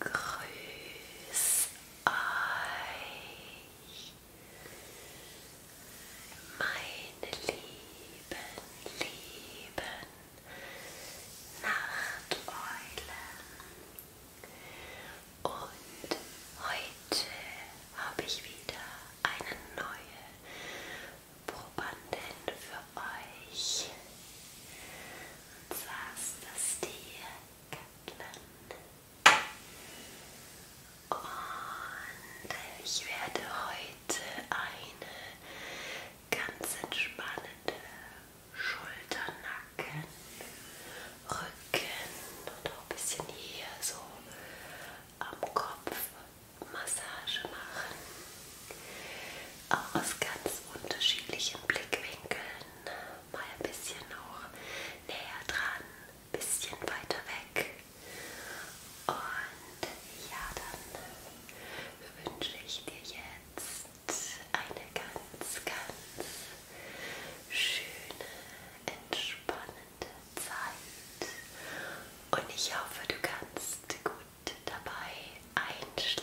Grüß euch, meine lieben, lieben Nachteulen. Und heute habe ich wieder eine neue Probanden für euch. Und zwar ist das die Kaplan. Und ich werde heute eine ganz entspannende Schulternacken, Rücken und auch ein bisschen hier so am Kopf Massage machen. Auch aus ganz unterschiedlichen Blickwinkeln. Mal ein bisschen auch näher dran, ein bisschen weiter weg. Und ja, dann wünsche ich dir jetzt eine ganz, ganz schöne, entspannende Zeit. Und ich hoffe, du kannst gut dabei einschlafen.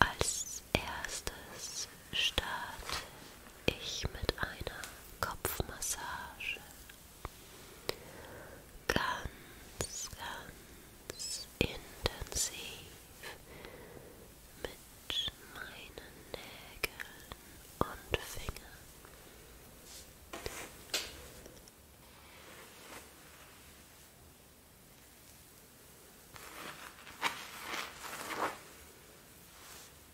Als erstes starte ich mit einer Kopfmassage. Ganz, ganz intensiv mit meinen Nägeln und Fingern.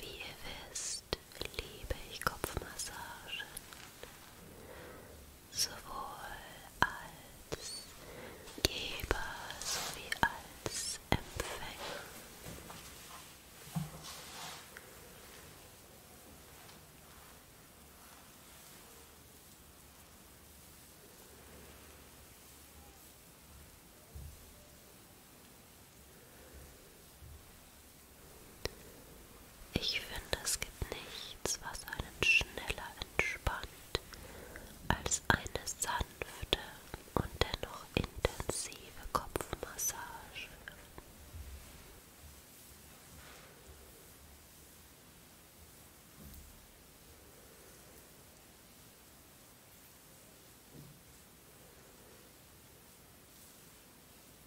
Wie ihr wisst, liebe ich Kopfmassagen sowohl als Geber sowie als Empfänger. Ich finde, es gibt nichts, was einen schneller entspannt als eine sanfte und dennoch intensive Kopfmassage.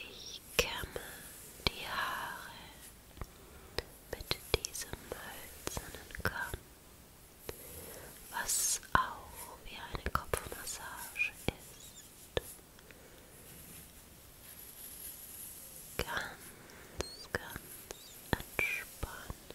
Ich kämme die Haare mit diesem hölzernen Kamm, was auch wie eine Kopfmassage ist. Ganz, ganz entspannen. Ganz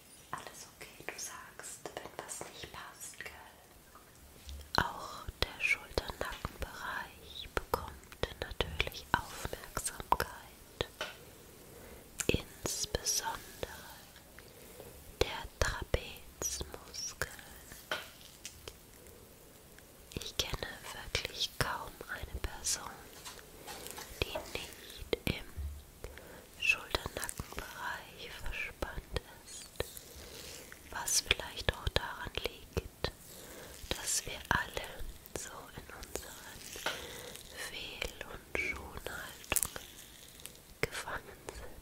Alles okay, du sagst, wenn was nicht passt, gell? Auch der Schulternackenbereich bekommt natürlich Aufmerksamkeit. Insbesondere der Trapezmuskel. Ich kenne wirklich kaum eine Person, die nicht im Schulternackenbereich verspannt ist, was vielleicht auch daran liegt, dass wir alle so in unseren Fehl- und Schonhaltungen gefangen sind.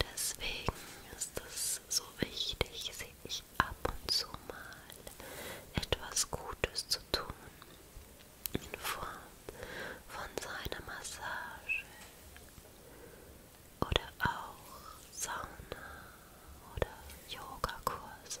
Deswegen ist es so wichtig, sich ab und zu mal etwas Gutes zu tun in Form von seiner Massage oder auch Sauna oder Yogakurse.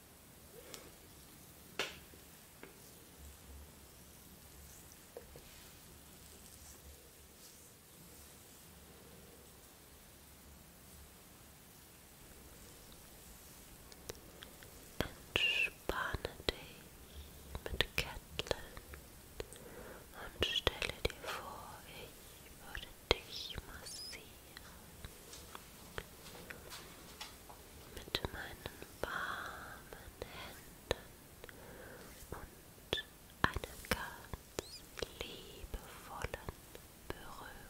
Entspanne dich mit Ketteln und stelle dir vor, ich würde dich massieren mit meinen warmen Händen und einer ganz liebevollen Berührung.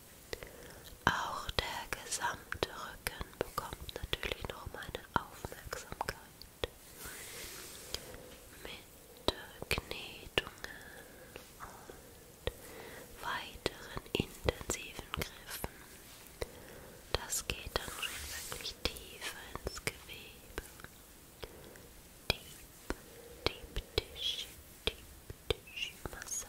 Auch der gesamte Rücken bekommt natürlich noch meine Aufmerksamkeit. Mit Knetungen und weiteren intensiven Griffen. Das geht dann schon wirklich tiefer ins Gewebe. Deep, deep tissue, deep tissue massage.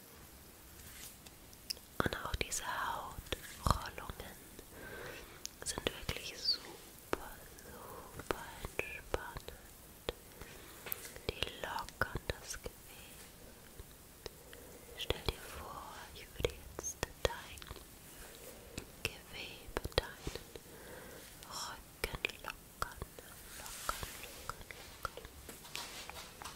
Und auch diese Hautrollungen sind wirklich super, super entspannend. Die lockern das Gewebe. Stell dir vor, ich würde jetzt dein Gewebe, deinen Rücken lockern, lockern, lockern, lockern.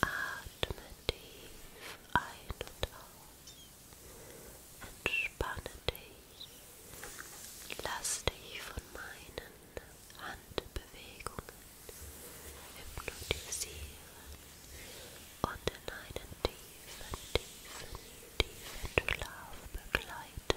Atme tief ein und aus. Entspanne dich. Lass dich von meinen Handbewegungen hypnotisieren und in einen tiefen, tiefen, tiefen Schlaf begleiten.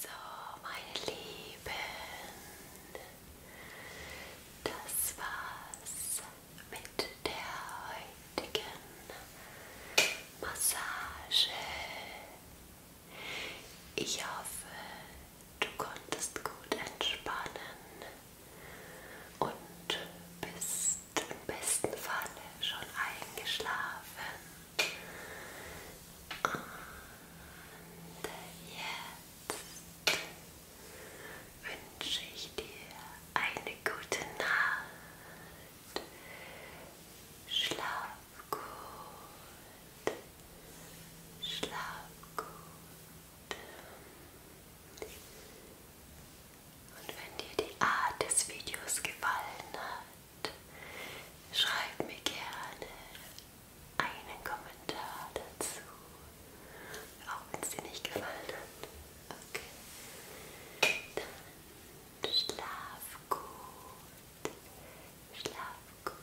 So, meine Lieben, das war's mit der heutigen Massage. Ich hoffe, du konntest gut entspannen und bist im besten Falle schon eingeschlafen. Und jetzt wünsche ich dir eine gute Nacht. Schlaf gut. Schlaf gut. Und wenn dir die Art des Videos gefallen hat, schreib mir gerne einen Kommentar dazu. Auch wenn es dir nicht gefallen hat. Okay. Dann schlaf gut. Schlaf gut.